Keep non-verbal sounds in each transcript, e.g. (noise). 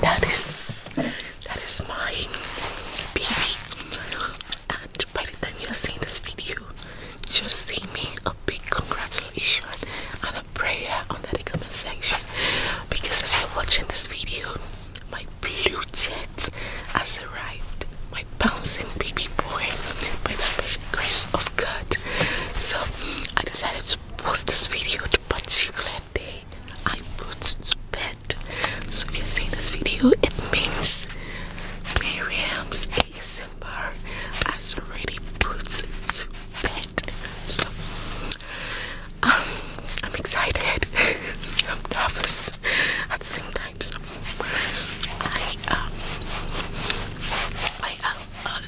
That is that is my baby. And by the time you are seeing this video, just see me a big congratulations and a prayer on the comment section. Because as you're watching this video, my blue jet has arrived, my bouncing baby boy, by the special grace of God. So I decided to post this video the particular day I put to bed. So if you're seeing this video, it means Miriam's ASMR has already put to bed. So um, I'm excited. (laughs) I'm nervous at the same time. I um I have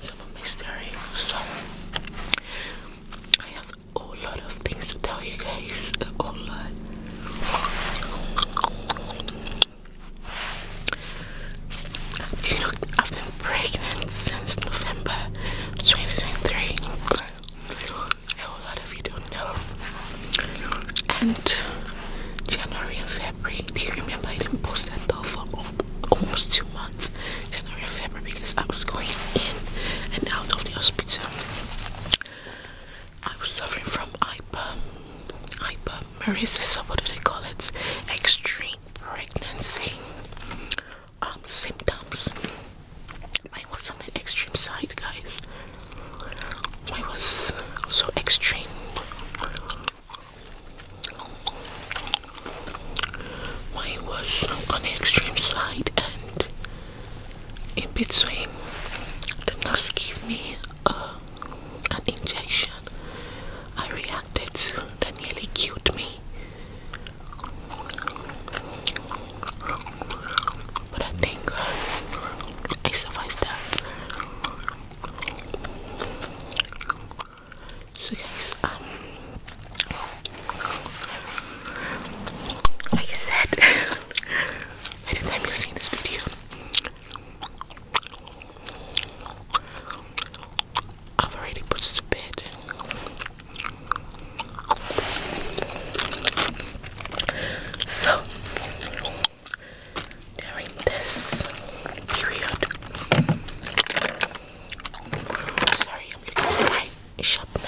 some mystery. So I have a lot of things to tell you guys. A lot. I've been pregnant since November 2023? A lot of you don't know. And January and February, do you remember I didn't post that though for almost months, January February, because I was going in and out of the hospital. I was suffering from hyper, hypermeresis, or what do they call it? Extreme pregnancy um, symptoms. I was on the extreme side, guys. I was so extreme. Mine was on the extreme side and in between the nurse gave me uh, an injection. I reacted to that nearly killed me. But I think uh, I survived that. So guys, um like I said, anytime (laughs) you seen this video, I've already put this to bed. So during this period, Sorry, I'm looking for my sharpener.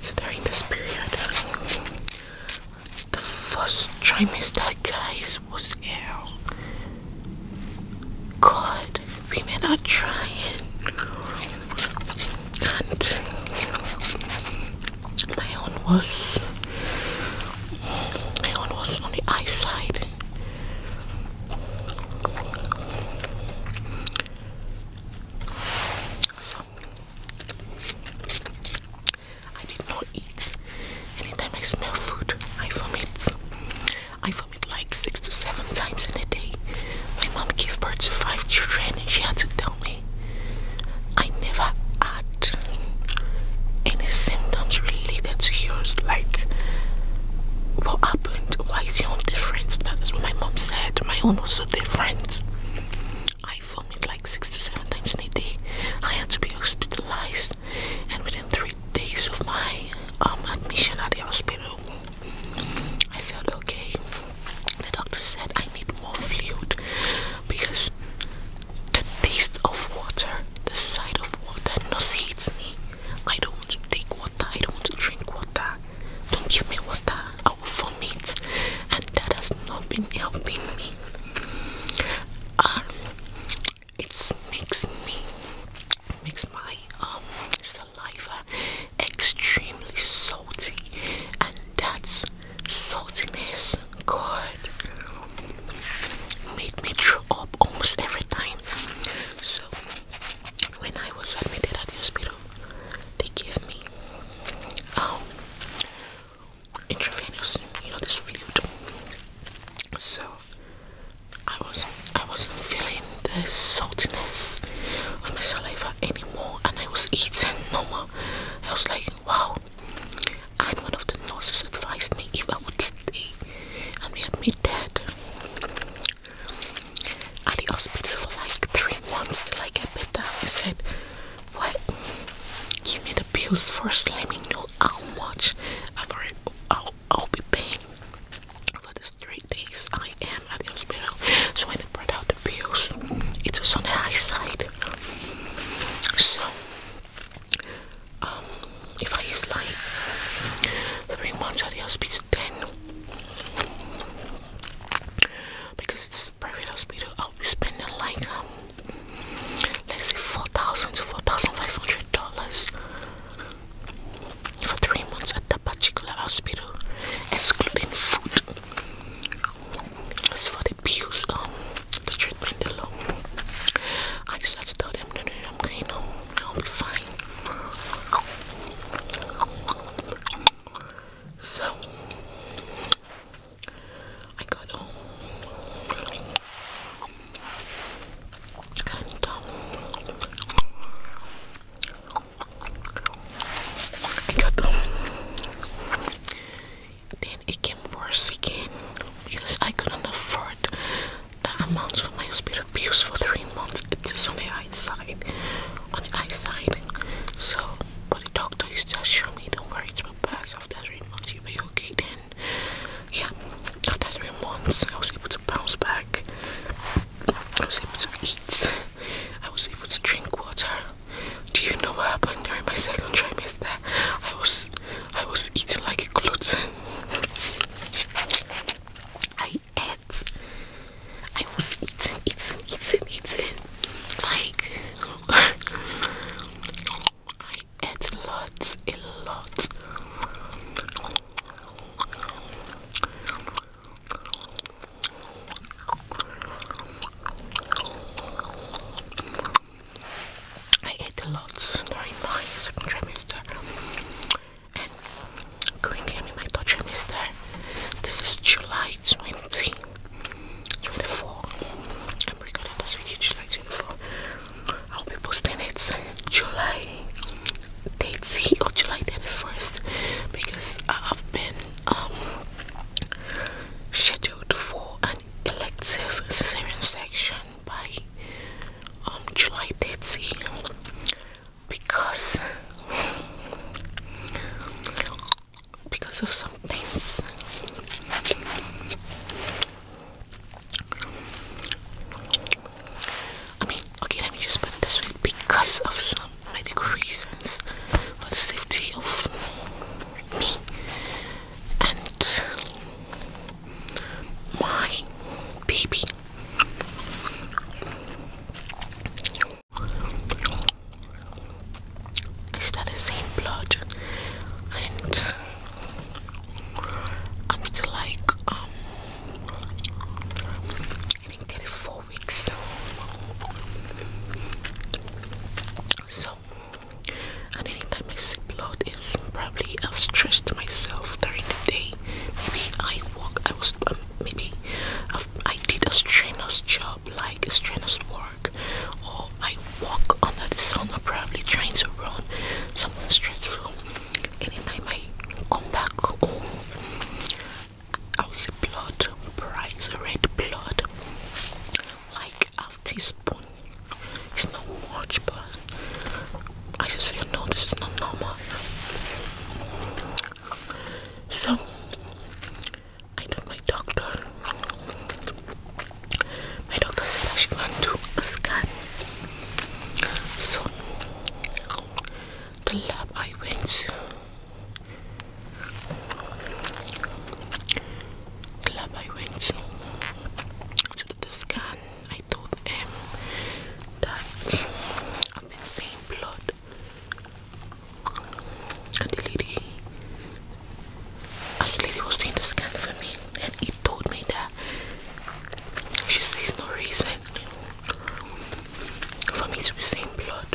So during this period, the first trimester, guys, was ill. God, women are trying my own was my own was on the eye side so I did not eat anytime I smell food I vomit I vomit like six to seven times in a day my mom gave birth to five children and she had to me I never had any symptoms related to yours, like what happened? Why is your own different? That is what my mom said. My own was so different. I vomit like six to seven times in a day. I had to be hospitalized, and within three days of my um, admission at the hospital, I felt okay. The doctor said I need more fluid because the taste of water, the sight of water nauseates me. I don't want to take water, I don't want to drink water. Don't give me water, I will vomit, and that has not been helping me. Um, it makes me, makes my um saliva extremely salty, and that's saltiness, God, made me throw up almost every time. So, when I was admitted at the hospital, they gave me um, intravenous, you fluid. So, I wasn't I wasn't feeling the saltiness of my saliva anymore and I was eating no more. I was like, wow. And one of the nurses advised me if I would stay and we had me dead at the hospital for like three months till I get better. I said, What? Give me the pills first, let me know how much i will be paying for these three days I am." at the hospital. So when they brought out the pills, it was on the high side. So um, if I use like three months at the hospital ten, because it's a private hospital I'll be spending like um let's say four thousand to four thousand five hundred dollars for three months at that particular hospital excluding food as for the pills, um, the treatment alone, I just had to tell them, no, no, I'm going home. I'll be fine. So I got home. Um, I got them. Then it came worse again because I couldn't afford the amounts for my hospital bills for three months. It just on the eye side, on the eye side. So, but the doctor used to assure me, "Don't worry, it's my pass. After three months, you'll be okay." Then, yeah, after three months, I was able to bounce back. I was able to eat. I was able to drink water. Do you know what happened during my second trimester? I was I was eating like a glutton. I ate. I was eating, eating, eating, eating. Like I ate lots, a lot. I ate a lot during my second trimester and currently I'm in my third trimester. This is July 20, I'm recording this video July 24. I'll be posting it July 30 or July 31st because I have been um, scheduled for an elective cesarean section by um, July 10th because because of some things. I mean, okay, let me just put this because of some um, medical reasons for the safety of me and my baby. I the same blood and I'm still like um and I did it four weeks. So, and anytime I see blood, it's probably I've stretched myself during the day. Maybe I walk. I was um, maybe i did a strenuous job, like a strenuous work, or I walk under the sun, or probably trying to run something stressful. Anytime I come back I Aussie blood, bright red blood, like half teaspoon. It's not much, but I just feel no, this is not normal. So I told my doctor. My doctor said I should go to a scan. So the lab I went to club I went to do the scan, I told him that I've been seeing blood, and the lady, as the lady was doing the scan for me, and he told me that she says no reason for me to be seeing blood.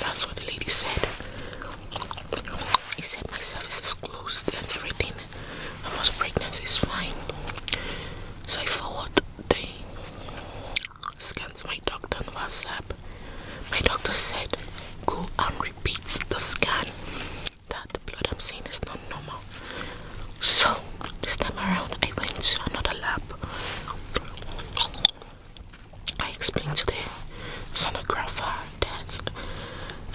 That's what the lady said. He said my service is closed and everything about pregnancy is fine. So I forward the scans. my doctor WhatsApp. My doctor said go and repeat the scan that the blood I'm seeing is not normal. So this time around, I went to another lab. I explained to the sonographer that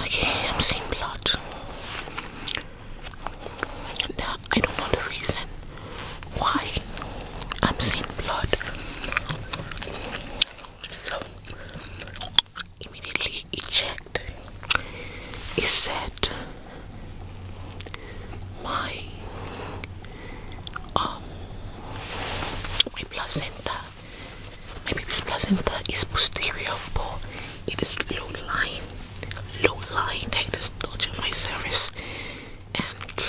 okay, I'm seeing blood. Now I don't know the reason why I'm seeing blood. So immediately eject. It said, "My um, my placenta, my baby's placenta is posterior, but it is low lying, low lying. Like this touching my cervix, and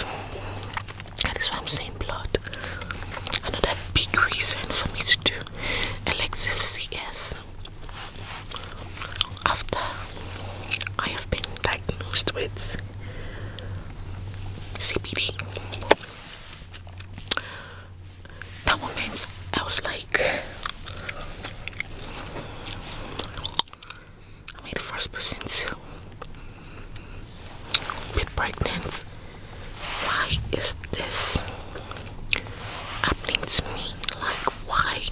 that is why I'm saying blood." Another big reason for me to do elective CS after I have been diagnosed with CPD. That moment I was like, am the first person to be pregnant? Why is this? happening to me? Like, why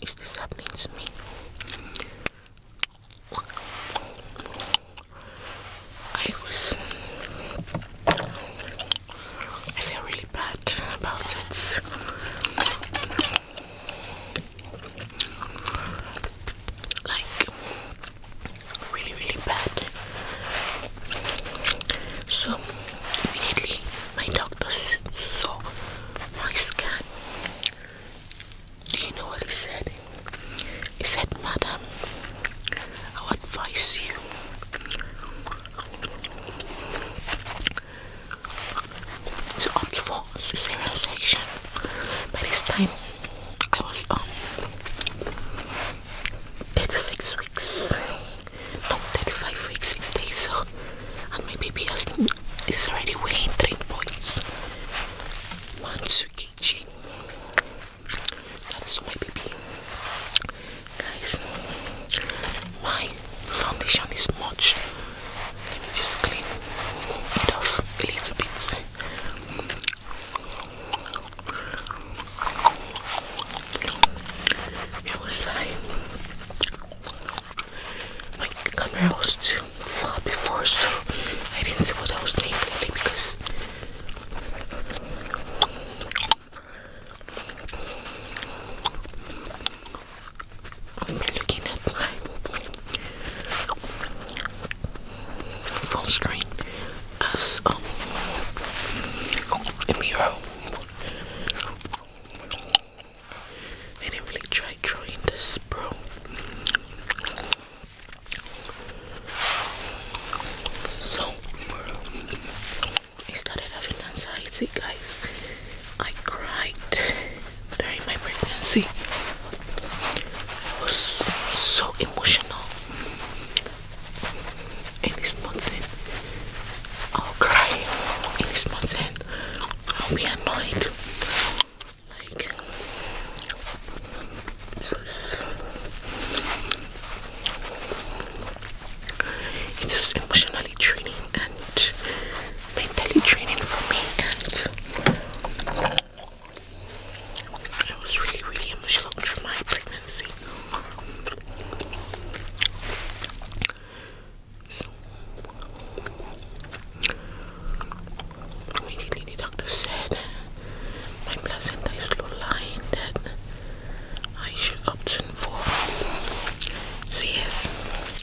is this happening to me? I was. I feel really bad about it. Like, really, really bad. So, immediately my doctor saw my scan. Do you know what he said? He said, Madam, I advise you to opt for cesarean section. By this time, I was on um, 36 weeks no 35 weeks 6 days so and my baby is already weighing 3 points 12 kg that's my baby guys my foundation is much let me just clean it off a little bit it was like my camera was too far before, so I didn't see what I was doing because I've been looking at my phone screen as um, a mirror. I didn't really try trying this, bro. So I started having anxiety, guys. I cried during my pregnancy. I was so emotional. I'll cry I'll be annoyed. Like it was it was emotionally draining and mentally training for me and I was really really emotional through my pregnancy so immediately the doctor said my placenta is low lying that I should option for so yes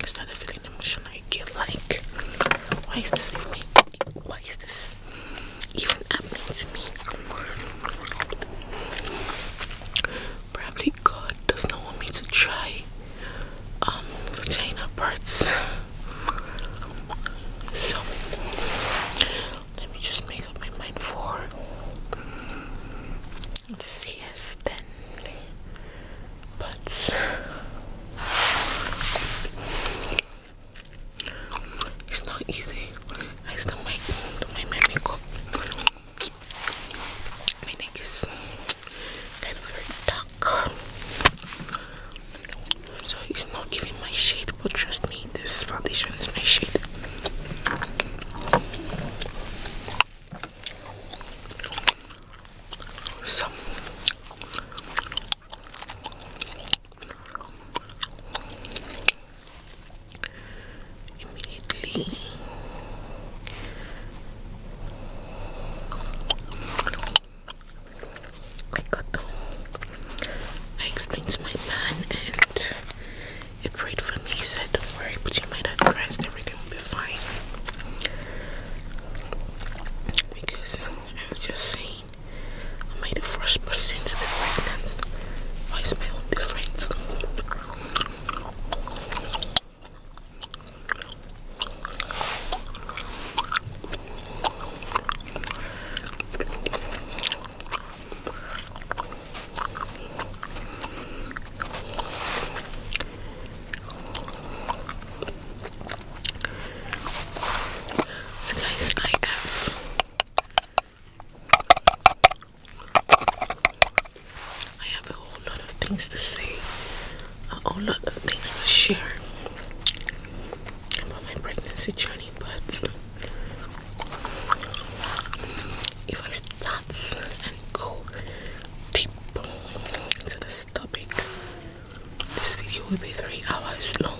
I started feeling the motion. I get like why is this even why is this even can happen to me. Probably God does not want me to try um vagina parts. So let me just make up my mind for this yes then but it's not easy. I still might my makeup. My is very dark. So it's not giving my shade, but trust me, this foundation is my shade. So immediately. I got the I explained to my man and it prayed for me. He said, Don't worry, put your mind at rest, everything will be fine. Because I was just saying, I made the first person to be pregnant? What is my own difference? So guys, I have I have a whole lot of things to say, a whole lot of things to share about my pregnancy journey, but if I start and go deep into this topic, this video will be three hours long.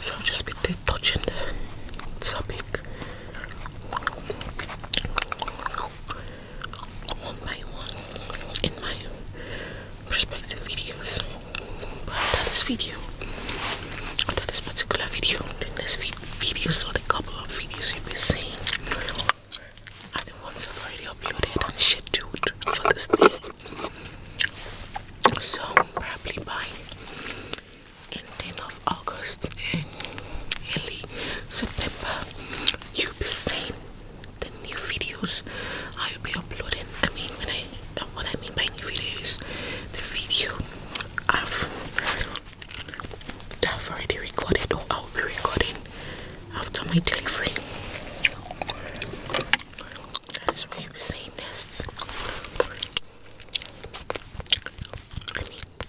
So I'll just be touching the topic one by one in my perspective videos. But that is video. That is particular video. In this video, so the couple of videos you'll be seeing are the ones I've already uploaded and scheduled for this day. So probably by end of August and early September, you'll be seeing the new videos I'll be uploading. I mean, when I what I mean by new videos, the video I've I've already recorded or I'll be recording after my delivery. That's where you were saying nests.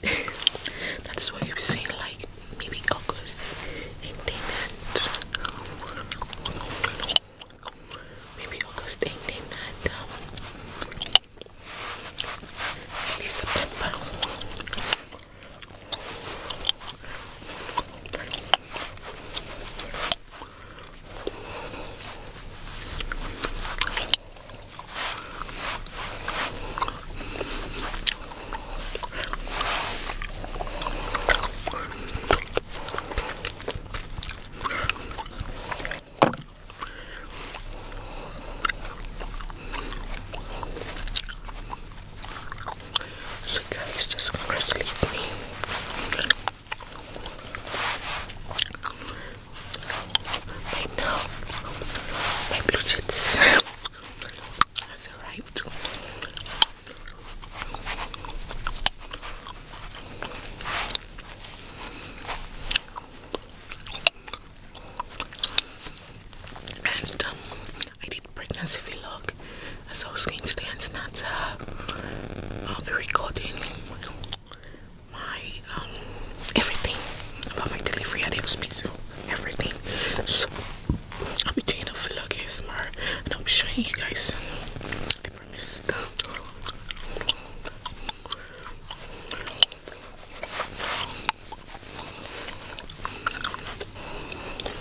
(laughs) that's where you were saying like maybe August and then that. Maybe August and then that. Um, September. So guys, this grass leads me. I now, my blue cheese has arrived. And um, I did pregnancy vlog so I was going to the internet. to I'll be recording my um, everything about my delivery. I didn't speak to everything. So I'll be doing a vlog here tomorrow and I'll be showing you guys soon.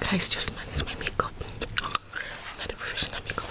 Guys, just my makeup. I'm not a professional makeup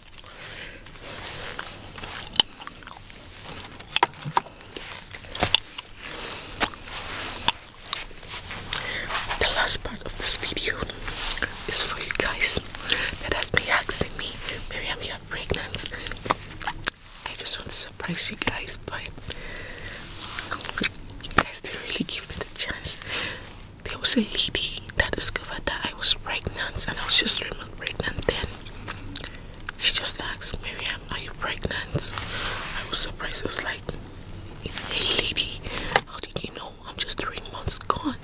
The last part of this video is for you guys that has been asking me, Miriam, you're pregnant. I just want to surprise you guys, but you guys didn't really give me the chance there was a lady that discovered that I was pregnant and I was just remote pregnant then. She just asked, Miriam, are you pregnant? I was surprised. I was like, hey lady, how did you know? I'm just three months gone.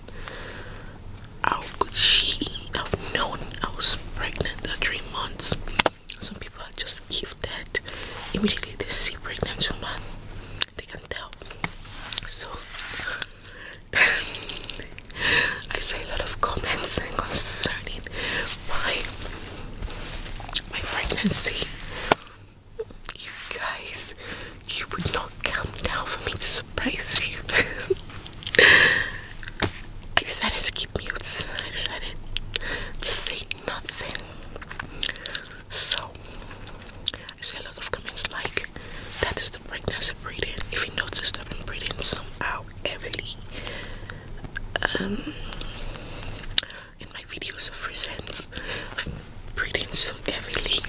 How could she have known I was pregnant at three months? Some people are just gifted. Immediately they see pregnant woman, they can tell. So (laughs) I saw a lot of comments (laughs) concerning why my pregnancy. You guys, you would not come down for me to surprise you. (laughs) I decided to keep mutes. I decided to say nothing. So I see a lot of comments like that is the pregnancy breathing. If you notice I've been breathing somehow heavily um in my videos of recent breathing so heavily.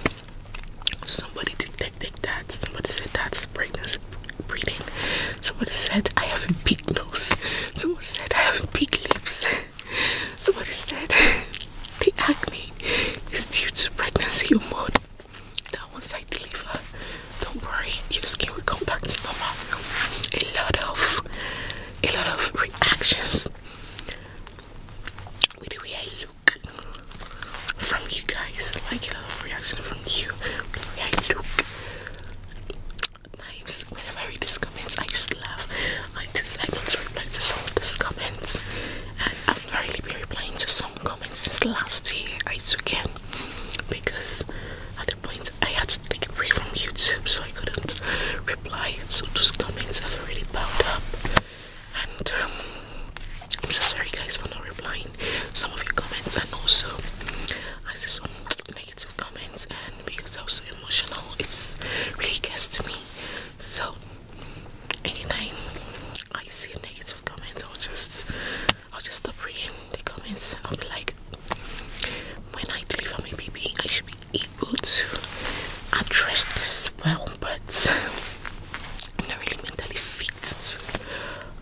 Somebody detected that, somebody said that's the pregnancy breathing, somebody said I have a big nose, Somebody said I have big lips, somebody said (laughs) the acne is due to pregnancy hormone. Now once I deliver, don't worry, your skin will come back to normal. A lot of a lot of reactions with the way I look from you guys. Like a lot of reaction from you with the way I look. Times whenever I read these comments I just laugh. I decide not to reply to some of these comments and I've not really been to some comment since last year I took it because at the point I had to take it away from YouTube so I couldn't reply. So those comments have really piled up, and um, I'm so sorry guys for not replying some of your comments. And also, I see some negative comments, and because I was so emotional, it's really gets to me. So anything I see negative comment I'll just I'll just stop reading the comments. I'll be like when I deliver my baby I should be able to address this well but I'm not really mentally fit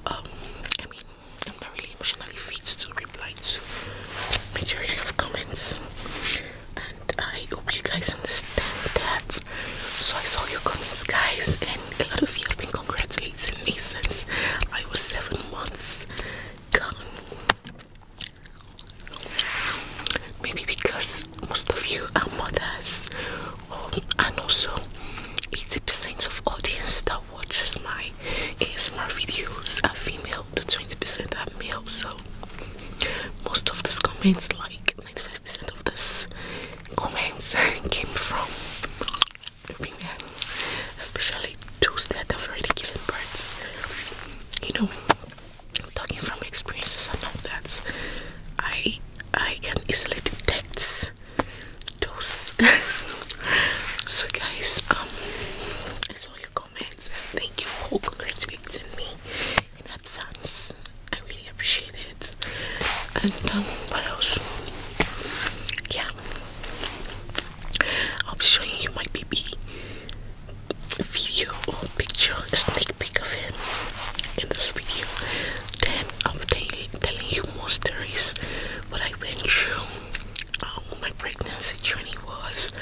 um I mean I'm not really emotionally fit to reply to majority of comments and I hope you guys understand that so I saw your comments, guys, and a lot of you have been congratulating me since I was seven months gone. Maybe because most of you are mothers, um, and also 80% of audience that watches my ASMR videos are female, the 20% are male. So most of these comments, like of this comments (laughs) came from women, especially those that have already given births. You know, talking from experiences I all that, I I can easily detect those. (laughs) so guys, um, I saw your comments and thank you for congratulating me in advance. I really appreciate it. And um, what else? Yeah, I'll be showing you my baby video or picture, a sneak peek of him in this video. Then I'll be telling you more stories, what I went through, um, my pregnancy journey was,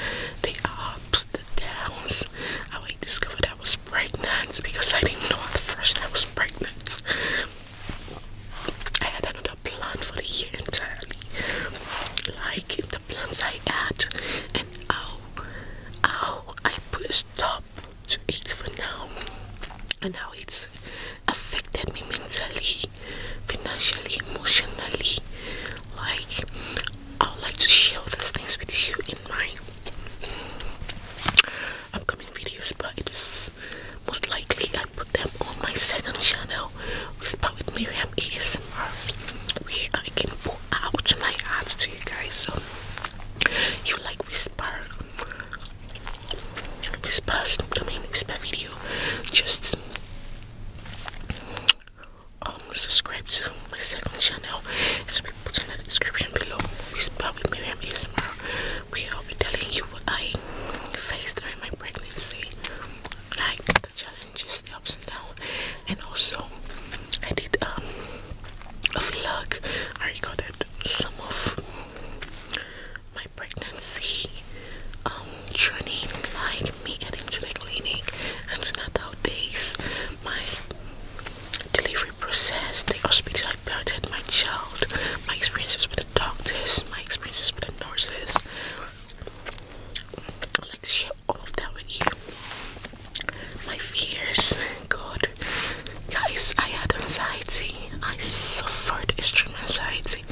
the ups, the downs, how I discovered I I was pregnant because I didn't know first I was pregnant. I had another plan for the year entirely. Like the plans I had and how how I put a stop to eat for now and how it's affected me mentally, financially, emotionally. Like I would like to share all these things with you in my upcoming videos, but it is most likely I put them on my second channel, which with Miriam ASMR, where I can put out my ads to you guys. So if you like whisper, whisper, I mean whisper video, just um, subscribe to my second channel put in the description below. It's probably Miriam ASMR. We will be telling you what I faced during my pregnancy, like the challenges, the ups and downs, and also I did um, a vlog. I recorded some of my pregnancy um, journey, like me heading to the clinic, antenatal days, my delivery process, the hospital I built my child, my experiences with the doctors, my experiences with the nurses. I'd like to share all of that with you. My fears, God, guys, I had anxiety. I suffered extreme anxiety,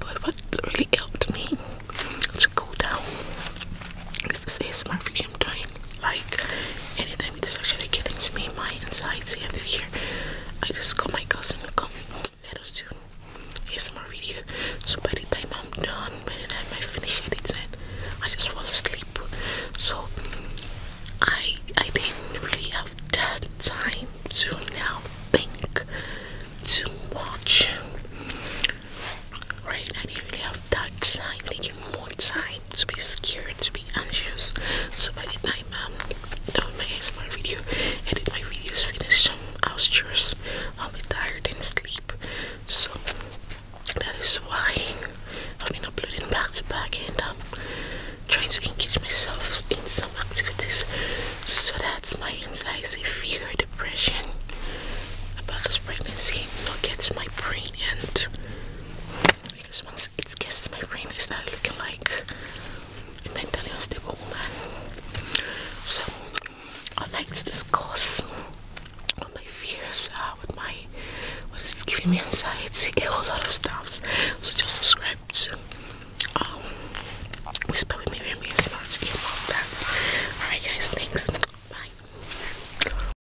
but what really helped me to go down is this My video i am doing. Like anytime it's actually getting to me, my insides and here, I just call my cousin and come let us do ASMR video. So by the time I'm done, by the time I finish editing, I just fall asleep. So I I didn't really have that time to now think to watch. Right, I didn't really have that time, thinking more time to be scared, to be anxious. So by the time um done my ASMR video, edit my videos finish some was chores, I'll be tired and sleep. So that is why I've been uploading back to back and um trying to engage myself in some activities so that's my anxiety, fear, depression about this pregnancy not gets my brain and because once it gets to my brain, it's not looking like a mentally unstable woman. So I like to discuss my fears with my what is giving me anxiety, a whole lot of stuff. So just subscribe to um Whisper with Miriam Smart. That's alright guys, thanks. Bye.